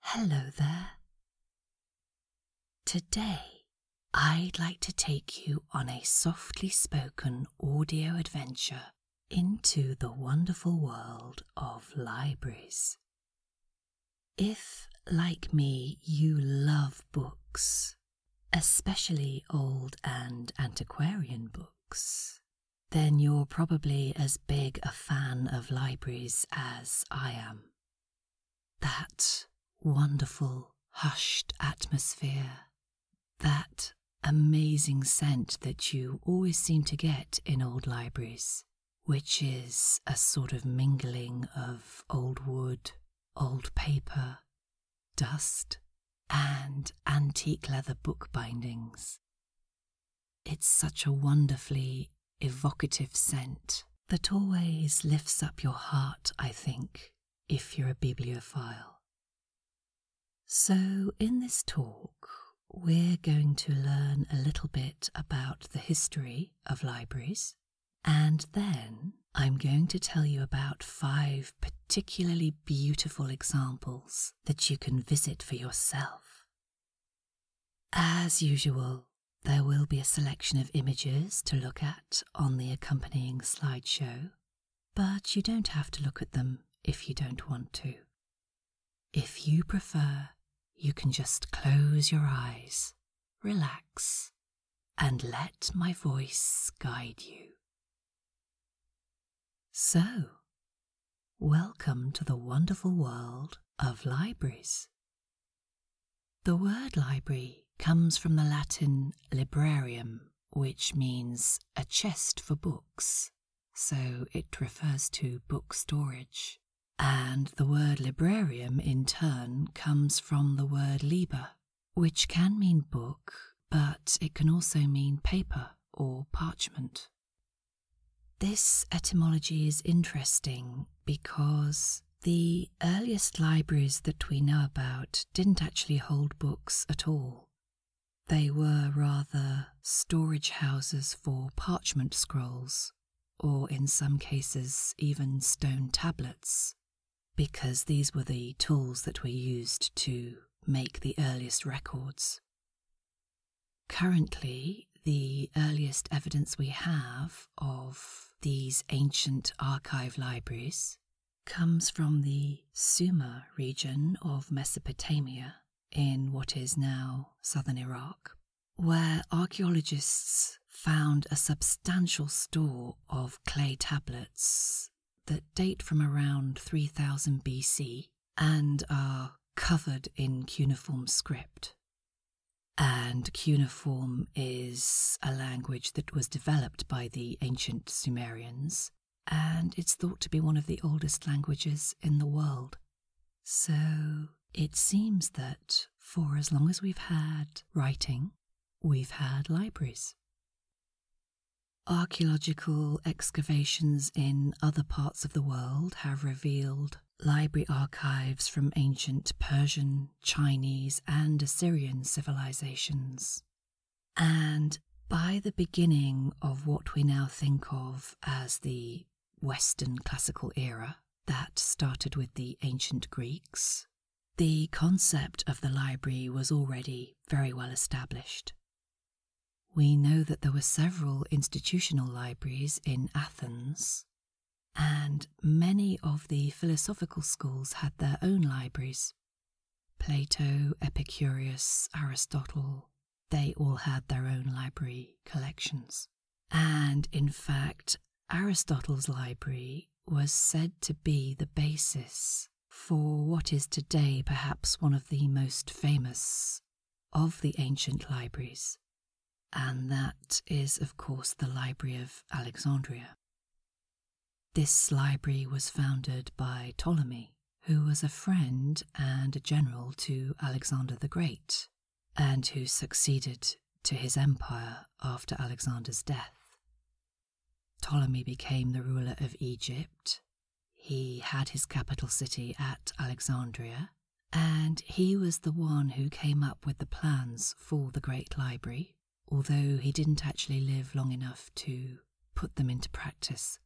Hello there. Today, I'd like to take you on a softly spoken audio adventure into the wonderful world of libraries. If, like me, you love books, especially old and antiquarian books, then you're probably as big a fan of libraries as I am. That wonderful, hushed atmosphere, that amazing scent that you always seem to get in old libraries, which is a sort of mingling of old wood, old paper, dust, and antique leather book bindings. It's such a wonderfully evocative scent that always lifts up your heart, I think, if you're a bibliophile. So, in this talk, we're going to learn a little bit about the history of libraries, and then I'm going to tell you about five particularly beautiful examples that you can visit for yourself as usual, there will be a selection of images to look at on the accompanying slideshow, but you don't have to look at them if you don't want to. If you prefer, you can just close your eyes, relax, and let my voice guide you. So, welcome to the wonderful world of libraries. The word library comes from the Latin librarium, which means a chest for books, so it refers to book storage. And the word librarium in turn comes from the word libra, which can mean book, but it can also mean paper or parchment. This etymology is interesting because the earliest libraries that we know about didn't actually hold books at all. They were rather storage houses for parchment scrolls, or in some cases, even stone tablets, because these were the tools that were used to make the earliest records. Currently, the earliest evidence we have of these ancient archive libraries comes from the Sumer region of Mesopotamia in what is now southern Iraq, where archaeologists found a substantial store of clay tablets that date from around 3000 BC and are covered in cuneiform script. And cuneiform is a language that was developed by the ancient Sumerians, and it's thought to be one of the oldest languages in the world. So it seems that for as long as we've had writing, we've had libraries. Archaeological excavations in other parts of the world have revealed library archives from ancient Persian, Chinese, and Assyrian civilizations. And by the beginning of what we now think of as the Western classical era, that started with the ancient Greeks, the concept of the library was already very well established. We know that there were several institutional libraries in Athens, and many of the philosophical schools had their own libraries. Plato, Epicurus, Aristotle, they all had their own library collections. And in fact, Aristotle's library was said to be the basis for what is today perhaps one of the most famous of the ancient libraries, and that is, of course, the Library of Alexandria. This library was founded by Ptolemy, who was a friend and a general to Alexander the Great, and who succeeded to his empire after Alexander's death. Ptolemy became the ruler of Egypt he had his capital city at Alexandria, and he was the one who came up with the plans for the Great Library, although he didn't actually live long enough to put them into practice.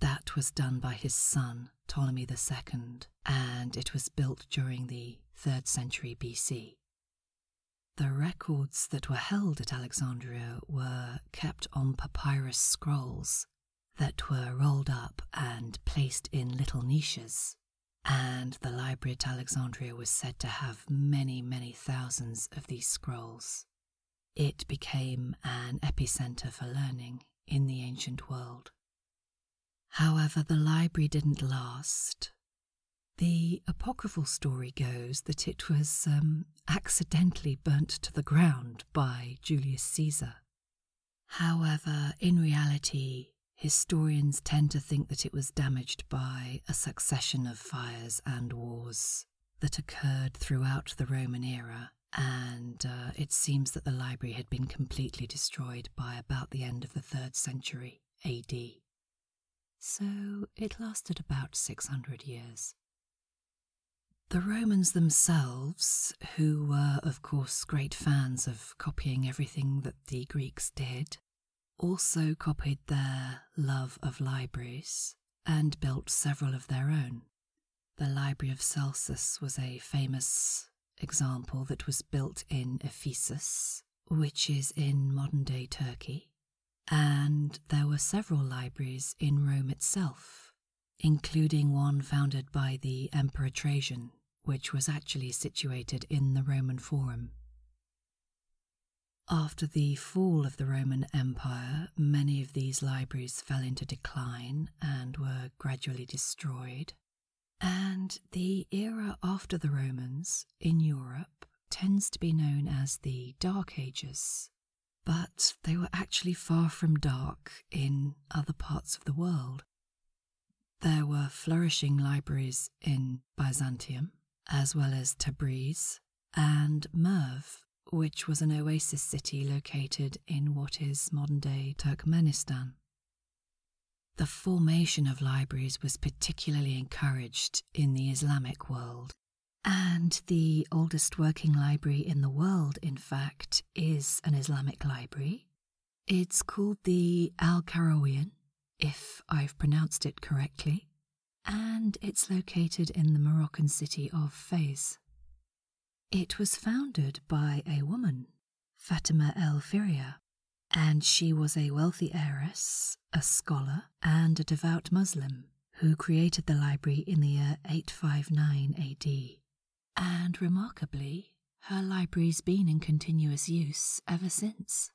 That was done by his son, Ptolemy II, and it was built during the 3rd century BC. The records that were held at Alexandria were kept on papyrus scrolls, that were rolled up and placed in little niches, and the library at Alexandria was said to have many, many thousands of these scrolls. It became an epicenter for learning in the ancient world. However, the library didn't last. The apocryphal story goes that it was um, accidentally burnt to the ground by Julius Caesar However, in reality, historians tend to think that it was damaged by a succession of fires and wars that occurred throughout the Roman era, and uh, it seems that the library had been completely destroyed by about the end of the 3rd century AD. So it lasted about 600 years. The Romans themselves, who were, of course, great fans of copying everything that the Greeks did, also copied their love of libraries and built several of their own. The Library of Celsus was a famous example that was built in Ephesus, which is in modern day Turkey, and there were several libraries in Rome itself, including one founded by the Emperor Trajan, which was actually situated in the Roman Forum. After the fall of the Roman Empire, many of these libraries fell into decline and were gradually destroyed. And the era after the Romans in Europe tends to be known as the Dark Ages, but they were actually far from dark in other parts of the world. There were flourishing libraries in Byzantium, as well as Tabriz and Merv, which was an oasis city located in what is modern day Turkmenistan. The formation of libraries was particularly encouraged in the Islamic world, and the oldest working library in the world, in fact, is an Islamic library. It's called the Al Karawiyan, if I've pronounced it correctly, and it's located in the Moroccan city of Fez. It was founded by a woman, Fatima El Feria, and she was a wealthy heiress, a scholar, and a devout Muslim who created the library in the year 859 AD and remarkably, her library's been in continuous use ever since.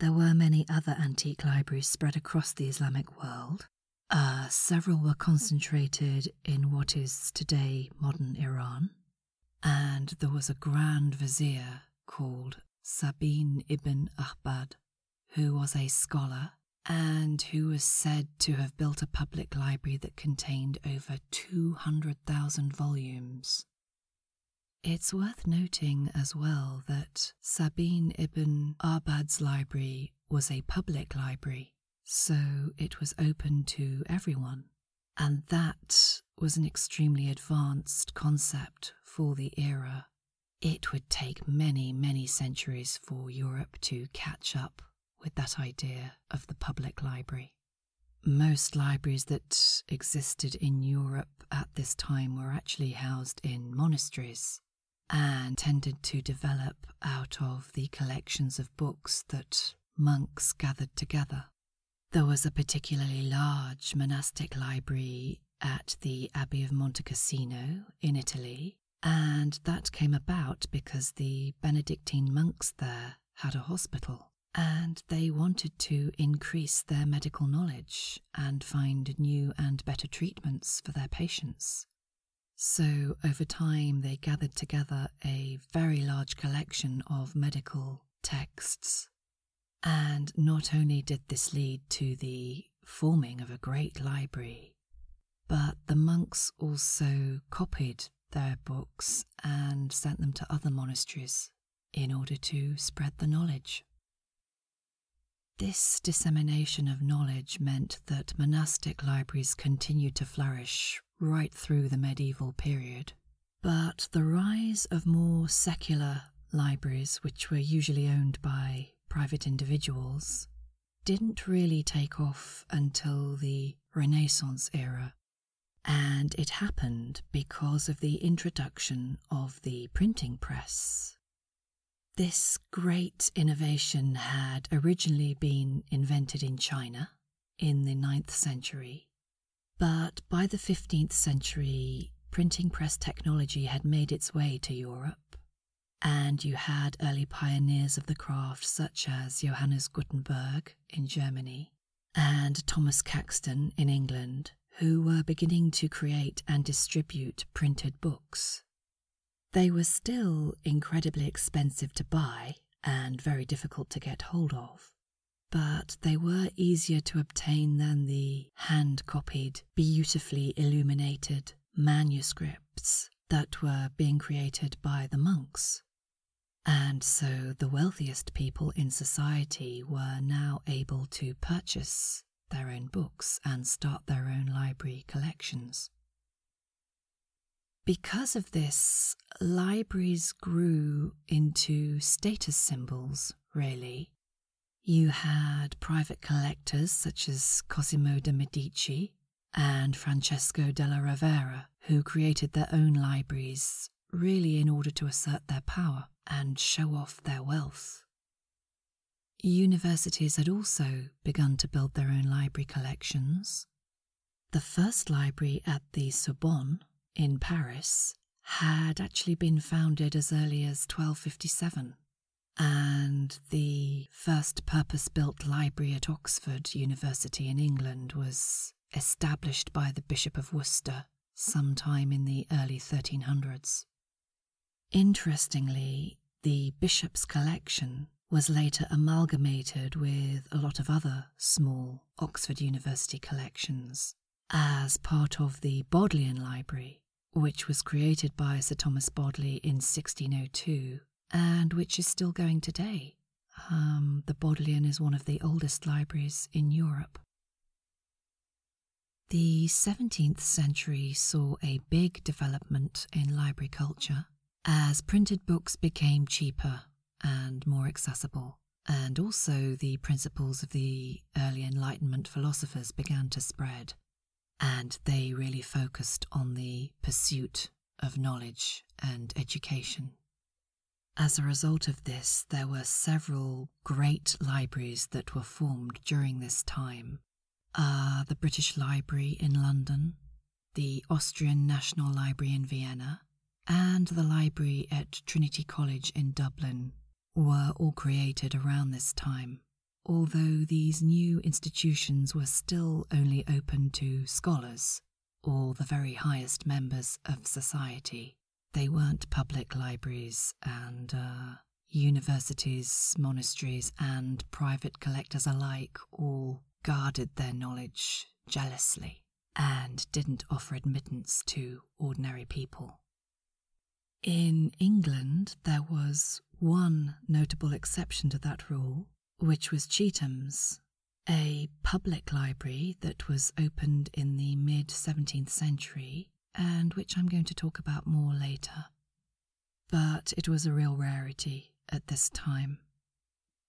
There were many other antique libraries spread across the Islamic world. Uh, several were concentrated in what is today modern Iran, and there was a grand vizier called Sabin ibn Ahmad, who was a scholar and who was said to have built a public library that contained over 200,000 volumes. It's worth noting as well that Sabine ibn Arbad's library was a public library, so it was open to everyone, and that was an extremely advanced concept for the era. It would take many, many centuries for Europe to catch up with that idea of the public library. Most libraries that existed in Europe at this time were actually housed in monasteries and tended to develop out of the collections of books that monks gathered together. There was a particularly large monastic library at the Abbey of Montecassino in Italy, and that came about because the Benedictine monks there had a hospital. And they wanted to increase their medical knowledge and find new and better treatments for their patients. So, over time, they gathered together a very large collection of medical texts. And not only did this lead to the forming of a great library but the monks also copied their books and sent them to other monasteries in order to spread the knowledge. This dissemination of knowledge meant that monastic libraries continued to flourish right through the medieval period, but the rise of more secular libraries, which were usually owned by private individuals, didn't really take off until the Renaissance era. And it happened because of the introduction of the printing press. This great innovation had originally been invented in China in the ninth century, but by the 15th century, printing press technology had made its way to Europe and you had early pioneers of the craft, such as Johannes Gutenberg in Germany and Thomas Caxton in England, who were beginning to create and distribute printed books. They were still incredibly expensive to buy and very difficult to get hold of, but they were easier to obtain than the hand copied, beautifully illuminated manuscripts that were being created by the monks. And so the wealthiest people in society were now able to purchase their own books and start their own library collections. Because of this, libraries grew into status symbols, really. You had private collectors such as Cosimo de' Medici, and Francesco della Rovera, who created their own libraries really in order to assert their power and show off their wealth. Universities had also begun to build their own library collections. The first library at the Sorbonne in Paris had actually been founded as early as 1257, and the first purpose built library at Oxford University in England was established by the Bishop of Worcester sometime in the early 1300s. Interestingly, the bishop's collection was later amalgamated with a lot of other small Oxford University collections as part of the Bodleian Library, which was created by Sir Thomas Bodley in 1602 and which is still going today. Um, the Bodleian is one of the oldest libraries in Europe. The 17th century saw a big development in library culture as printed books became cheaper and more accessible, and also the principles of the early Enlightenment philosophers began to spread and they really focused on the pursuit of knowledge and education. As a result of this, there were several great libraries that were formed during this time. Uh, the British Library in London, the Austrian National Library in Vienna, and the library at Trinity College in Dublin were all created around this time, although these new institutions were still only open to scholars or the very highest members of society. They weren't public libraries and uh, universities, monasteries, and private collectors alike all guarded their knowledge jealously and didn't offer admittance to ordinary people. In England, there was one notable exception to that rule, which was Cheetham's, a public library that was opened in the mid 17th century and which I'm going to talk about more later. But it was a real rarity at this time.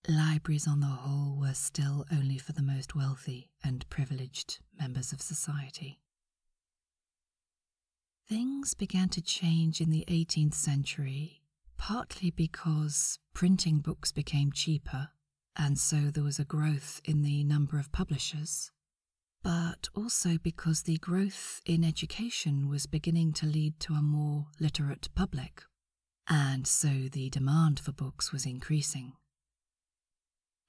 Libraries, on the whole, were still only for the most wealthy and privileged members of society. Things began to change in the 18th century, partly because printing books became cheaper, and so there was a growth in the number of publishers, but also because the growth in education was beginning to lead to a more literate public, and so the demand for books was increasing.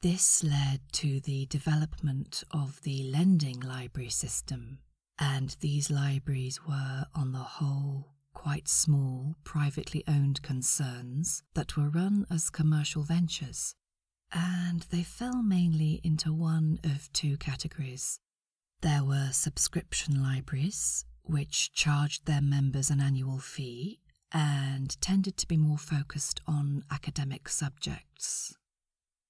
This led to the development of the lending library system and these libraries were, on the whole, quite small, privately owned concerns that were run as commercial ventures, and they fell mainly into one of two categories. There were subscription libraries, which charged their members an annual fee and tended to be more focused on academic subjects.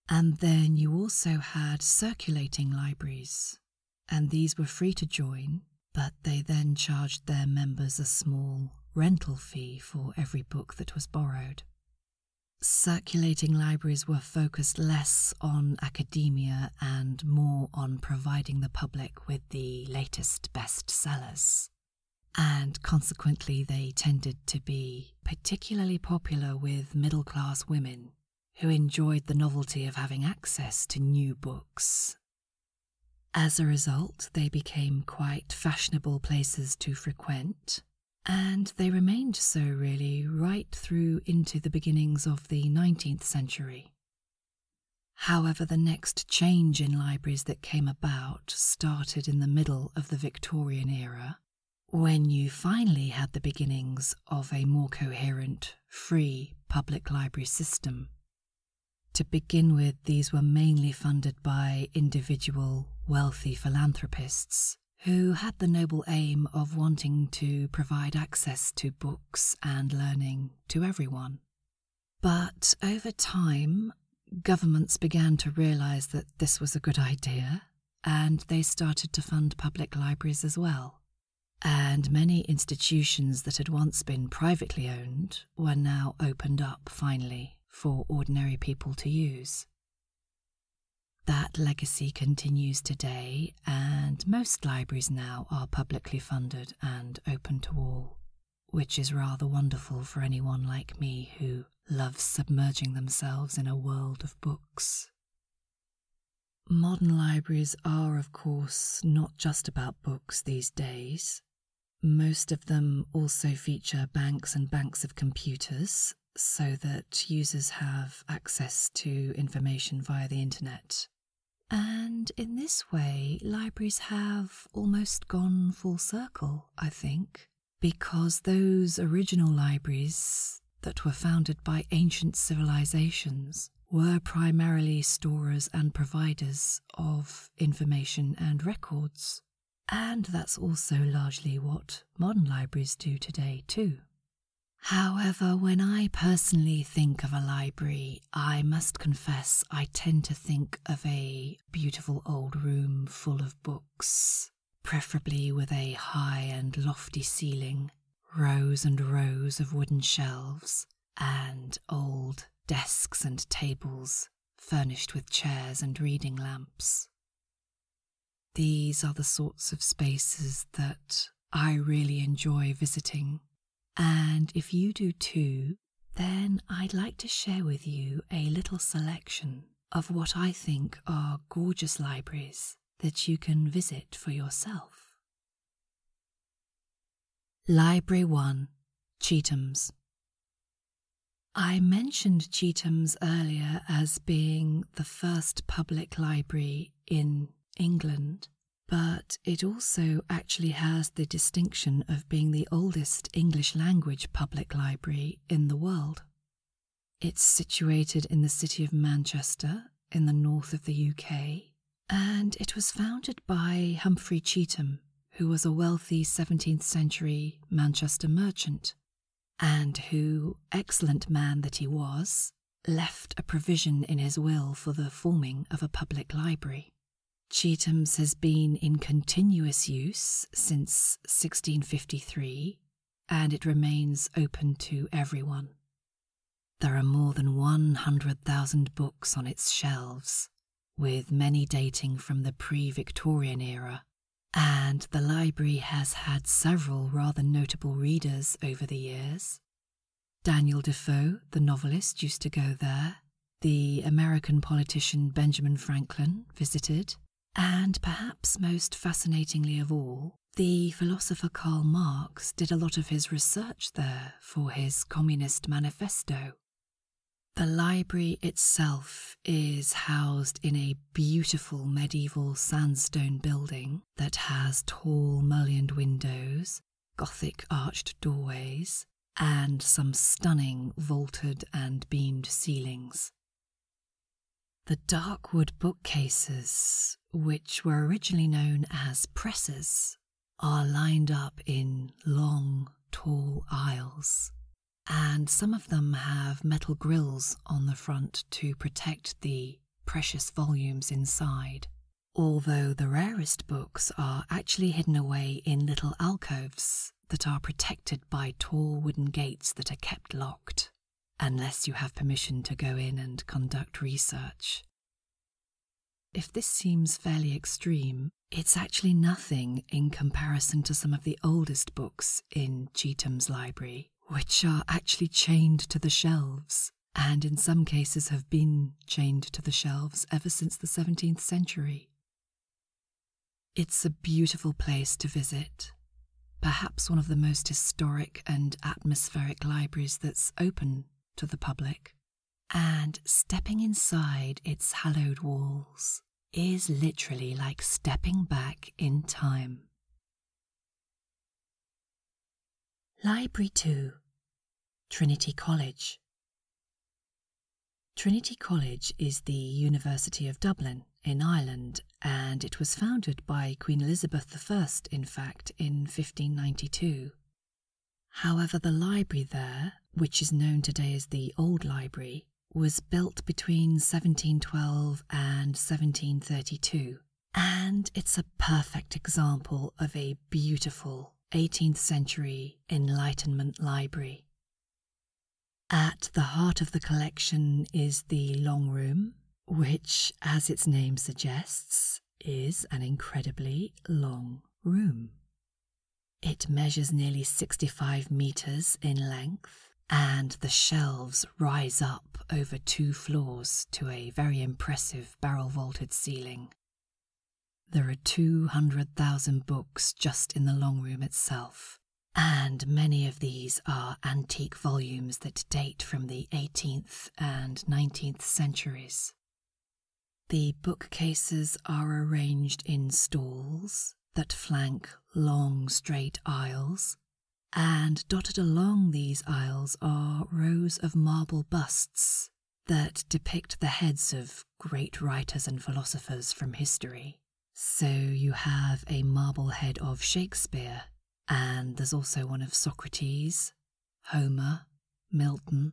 And then you also had circulating libraries, and these were free to join, but they then charged their members a small rental fee for every book that was borrowed. Circulating libraries were focused less on academia and more on providing the public with the latest bestsellers. And consequently, they tended to be particularly popular with middle class women who enjoyed the novelty of having access to new books. As a result, they became quite fashionable places to frequent, and they remained so really right through into the beginnings of the 19th century. However, the next change in libraries that came about started in the middle of the Victorian era when you finally had the beginnings of a more coherent, free public library system, to begin with, these were mainly funded by individual, wealthy philanthropists who had the noble aim of wanting to provide access to books and learning to everyone. But over time, governments began to realize that this was a good idea, and they started to fund public libraries as well and many institutions that had once been privately owned were now opened up finally for ordinary people to use. That legacy continues today, and most libraries now are publicly funded and open to all, which is rather wonderful for anyone like me who loves submerging themselves in a world of books. Modern libraries are, of course, not just about books these days. Most of them also feature banks and banks of computers so that users have access to information via the internet. And in this way, libraries have almost gone full circle, I think, because those original libraries that were founded by ancient civilizations were primarily storers and providers of information and records. And that's also largely what modern libraries do today, too. However, when I personally think of a library, I must confess I tend to think of a beautiful old room full of books, preferably with a high and lofty ceiling rows and rows of wooden shelves, and old desks and tables furnished with chairs and reading lamps. These are the sorts of spaces that I really enjoy visiting, and if you do too, then I'd like to share with you a little selection of what I think are gorgeous libraries that you can visit for yourself. Library 1 Cheetham's. I mentioned Cheetham's earlier as being the first public library in England, but it also actually has the distinction of being the oldest English language public library in the world. It's situated in the city of Manchester in the north of the UK, and it was founded by Humphrey Cheetham, who was a wealthy 17th century Manchester merchant, and who, excellent man that he was, left a provision in his will for the forming of a public library. Cheetham's has been in continuous use since 1653 and it remains open to everyone. There are more than 100,000 books on its shelves, with many dating from the pre Victorian era, and the library has had several rather notable readers over the years. Daniel Defoe, the novelist, used to go there. The American politician Benjamin Franklin visited, and perhaps most fascinatingly of all, the philosopher Karl Marx did a lot of his research there for his Communist Manifesto. The library itself is housed in a beautiful medieval sandstone building that has tall mullioned windows, Gothic arched doorways, and some stunning vaulted and beamed ceilings. The darkwood bookcases, which were originally known as presses, are lined up in long, tall aisles, and some of them have metal grills on the front to protect the precious volumes inside, although the rarest books are actually hidden away in little alcoves that are protected by tall wooden gates that are kept locked unless you have permission to go in and conduct research. If this seems fairly extreme, it's actually nothing in comparison to some of the oldest books in Cheetham's library, which are actually chained to the shelves, and in some cases have been chained to the shelves ever since the 17th century. It's a beautiful place to visit, perhaps one of the most historic and atmospheric libraries that's open to the public. And stepping inside its hallowed walls is literally like stepping back in time. Library 2 Trinity College Trinity College is the University of Dublin in Ireland and it was founded by Queen Elizabeth I, in fact, in 1592. However, the library there, which is known today as the Old Library, was built between 1712 and 1732, and it's a perfect example of a beautiful 18th century Enlightenment library. At the heart of the collection is the Long Room, which, as its name suggests, is an incredibly long room. It measures nearly 65 meters in length, and the shelves rise up over two floors to a very impressive barrel vaulted ceiling. There are 200,000 books just in the long room itself, and many of these are antique volumes that date from the 18th and 19th centuries. The bookcases are arranged in stalls that flank long straight aisles, and dotted along these aisles are rows of marble busts that depict the heads of great writers and philosophers from history. So you have a marble head of Shakespeare and there's also one of Socrates, Homer, Milton.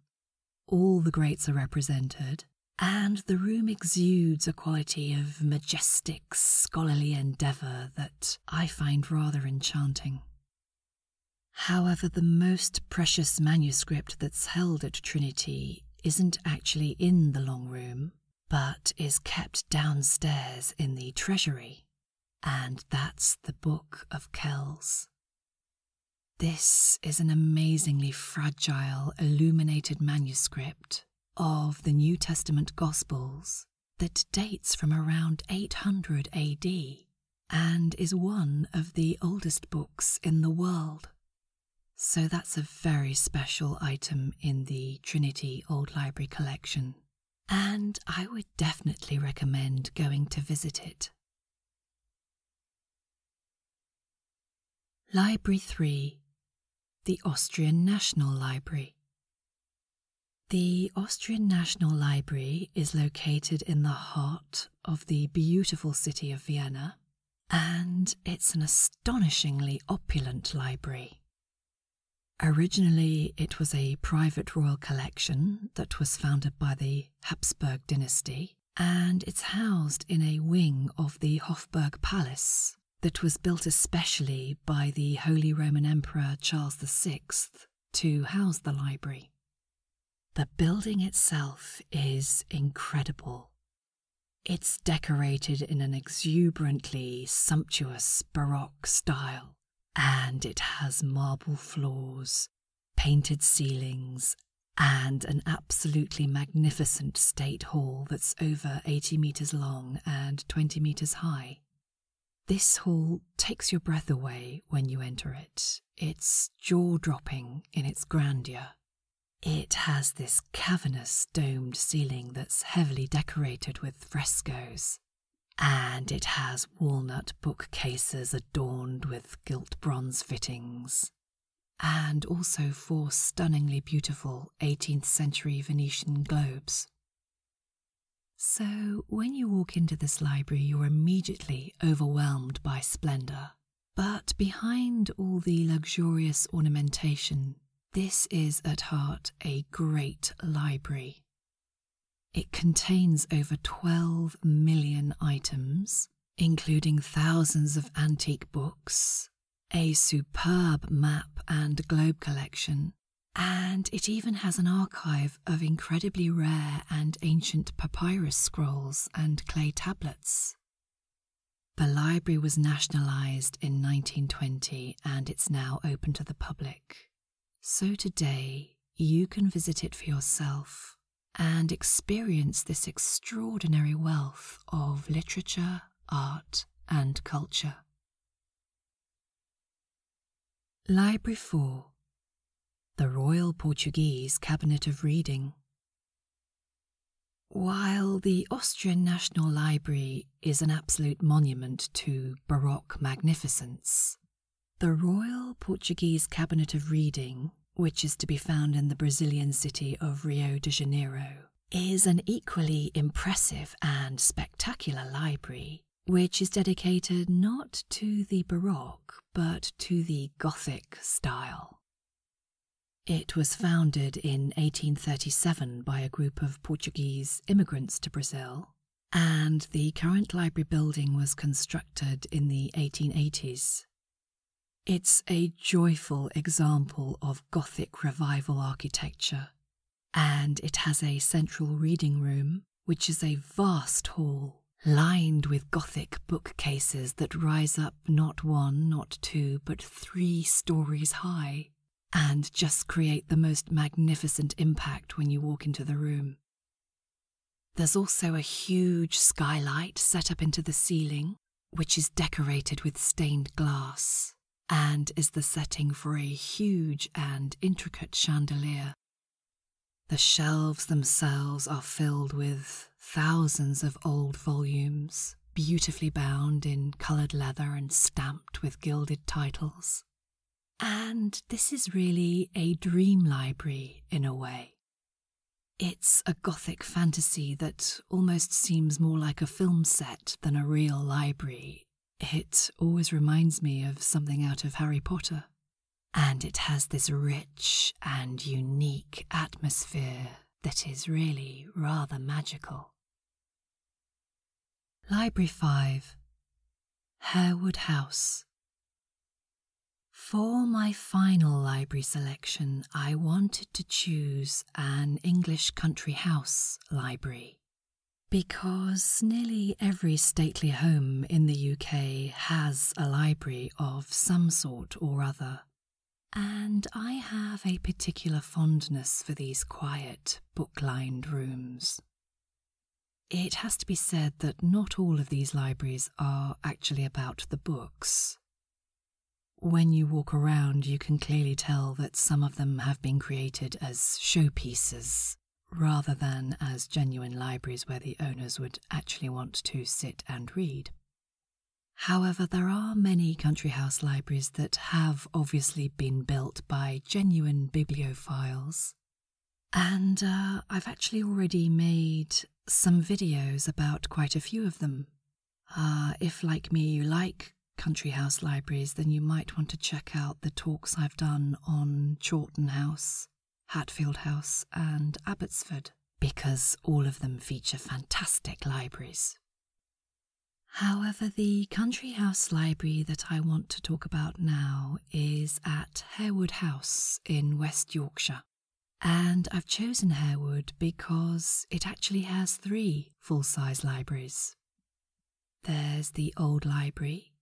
All the greats are represented, and the room exudes a quality of majestic, scholarly endeavour that I find rather enchanting. However, the most precious manuscript that's held at Trinity isn't actually in the long room, but is kept downstairs in the treasury, and that's the Book of Kells. This is an amazingly fragile, illuminated manuscript of the New Testament Gospels that dates from around 800 AD and is one of the oldest books in the world. So that's a very special item in the Trinity Old Library collection and I would definitely recommend going to visit it. Library 3 The Austrian National Library. The Austrian National Library is located in the heart of the beautiful city of Vienna, and it's an astonishingly opulent library. Originally, it was a private royal collection that was founded by the Habsburg dynasty, and it's housed in a wing of the Hofburg Palace that was built especially by the Holy Roman Emperor Charles VI to house the library. The building itself is incredible. It's decorated in an exuberantly sumptuous Baroque style and it has marble floors, painted ceilings, and an absolutely magnificent state hall that's over 80 metres long and 20 metres high. This hall takes your breath away when you enter it. It's jaw dropping in its grandeur. It has this cavernous domed ceiling that's heavily decorated with frescoes, and it has walnut bookcases adorned with gilt bronze fittings, and also four stunningly beautiful 18th century Venetian globes. So, when you walk into this library, you're immediately overwhelmed by splendour. But behind all the luxurious ornamentation, this is at heart a great library, it contains over 12 million items, including thousands of antique books, a superb map and globe collection, and it even has an archive of incredibly rare and ancient papyrus scrolls and clay tablets. The library was nationalised in 1920 and it's now open to the public. So today, you can visit it for yourself and experience this extraordinary wealth of literature, art, and culture. Library 4 The Royal Portuguese Cabinet of Reading. While the Austrian National Library is an absolute monument to Baroque magnificence, the Royal Portuguese Cabinet of Reading, which is to be found in the Brazilian city of Rio de Janeiro, is an equally impressive and spectacular library, which is dedicated not to the Baroque but to the Gothic style. It was founded in 1837 by a group of Portuguese immigrants to Brazil and the current library building was constructed in the 1880s. It's a joyful example of Gothic Revival architecture, and it has a central reading room, which is a vast hall lined with Gothic bookcases that rise up not one, not two, but three stories high, and just create the most magnificent impact when you walk into the room. There's also a huge skylight set up into the ceiling, which is decorated with stained glass and is the setting for a huge and intricate chandelier. The shelves themselves are filled with thousands of old volumes, beautifully bound in coloured leather and stamped with gilded titles. And this is really a dream library in a way. It's a gothic fantasy that almost seems more like a film set than a real library. It always reminds me of something out of Harry Potter. And it has this rich and unique atmosphere that is really rather magical. Library 5, Harewood House. For my final library selection, I wanted to choose an English country house library because nearly every stately home in the UK has a library of some sort or other. And I have a particular fondness for these quiet, book lined rooms. It has to be said that not all of these libraries are actually about the books. When you walk around, you can clearly tell that some of them have been created as showpieces rather than as genuine libraries where the owners would actually want to sit and read. However, there are many country house libraries that have obviously been built by genuine bibliophiles and uh, I've actually already made some videos about quite a few of them. Uh, if, like me, you like country house libraries, then you might want to check out the talks I've done on Chawton House, Hatfield House, and Abbotsford, because all of them feature fantastic libraries. However, the country house library that I want to talk about now is at Harewood House in West Yorkshire. And I've chosen Harewood because it actually has three full size libraries. There's the Old Library,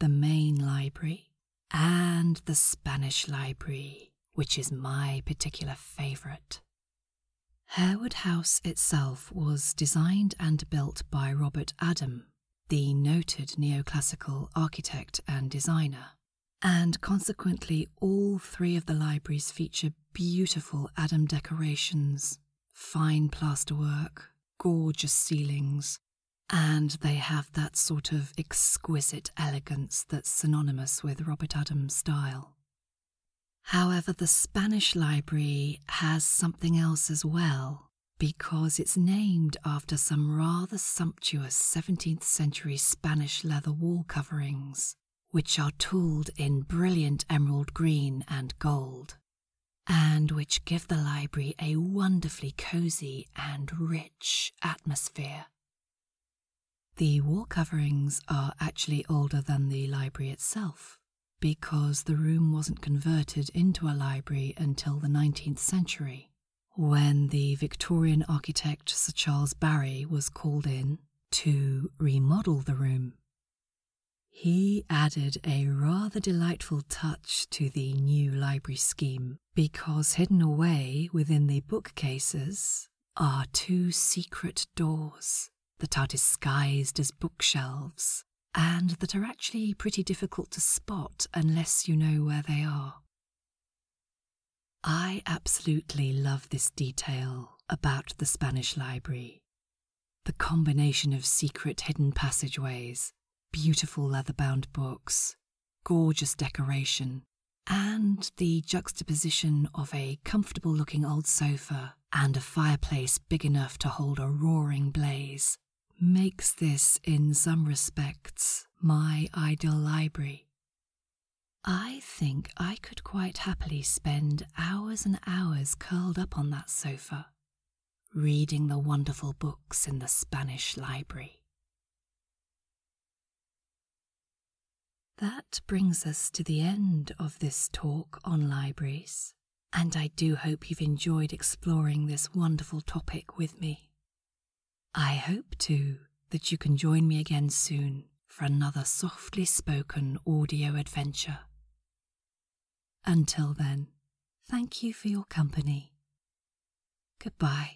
the Main Library, and the Spanish Library, which is my particular favourite. Harewood House itself was designed and built by Robert Adam, the noted neoclassical architect and designer. And consequently, all three of the libraries feature beautiful Adam decorations, fine plasterwork, gorgeous ceilings, and they have that sort of exquisite elegance that's synonymous with Robert Adam's style. However, the Spanish library has something else as well because it's named after some rather sumptuous 17th century Spanish leather wall coverings, which are tooled in brilliant emerald green and gold, and which give the library a wonderfully cozy and rich atmosphere. The wall coverings are actually older than the library itself, because the room wasn't converted into a library until the 19th century, when the Victorian architect Sir Charles Barry was called in to remodel the room. He added a rather delightful touch to the new library scheme because hidden away within the bookcases are two secret doors that are disguised as bookshelves and that are actually pretty difficult to spot unless you know where they are. I absolutely love this detail about the Spanish Library. The combination of secret hidden passageways, beautiful leather bound books, gorgeous decoration, and the juxtaposition of a comfortable looking old sofa and a fireplace big enough to hold a roaring blaze makes this, in some respects, my ideal library. I think I could quite happily spend hours and hours curled up on that sofa, reading the wonderful books in the Spanish library. That brings us to the end of this talk on libraries and I do hope you've enjoyed exploring this wonderful topic with me. I hope, too, that you can join me again soon for another softly spoken audio adventure. Until then, thank you for your company. Goodbye.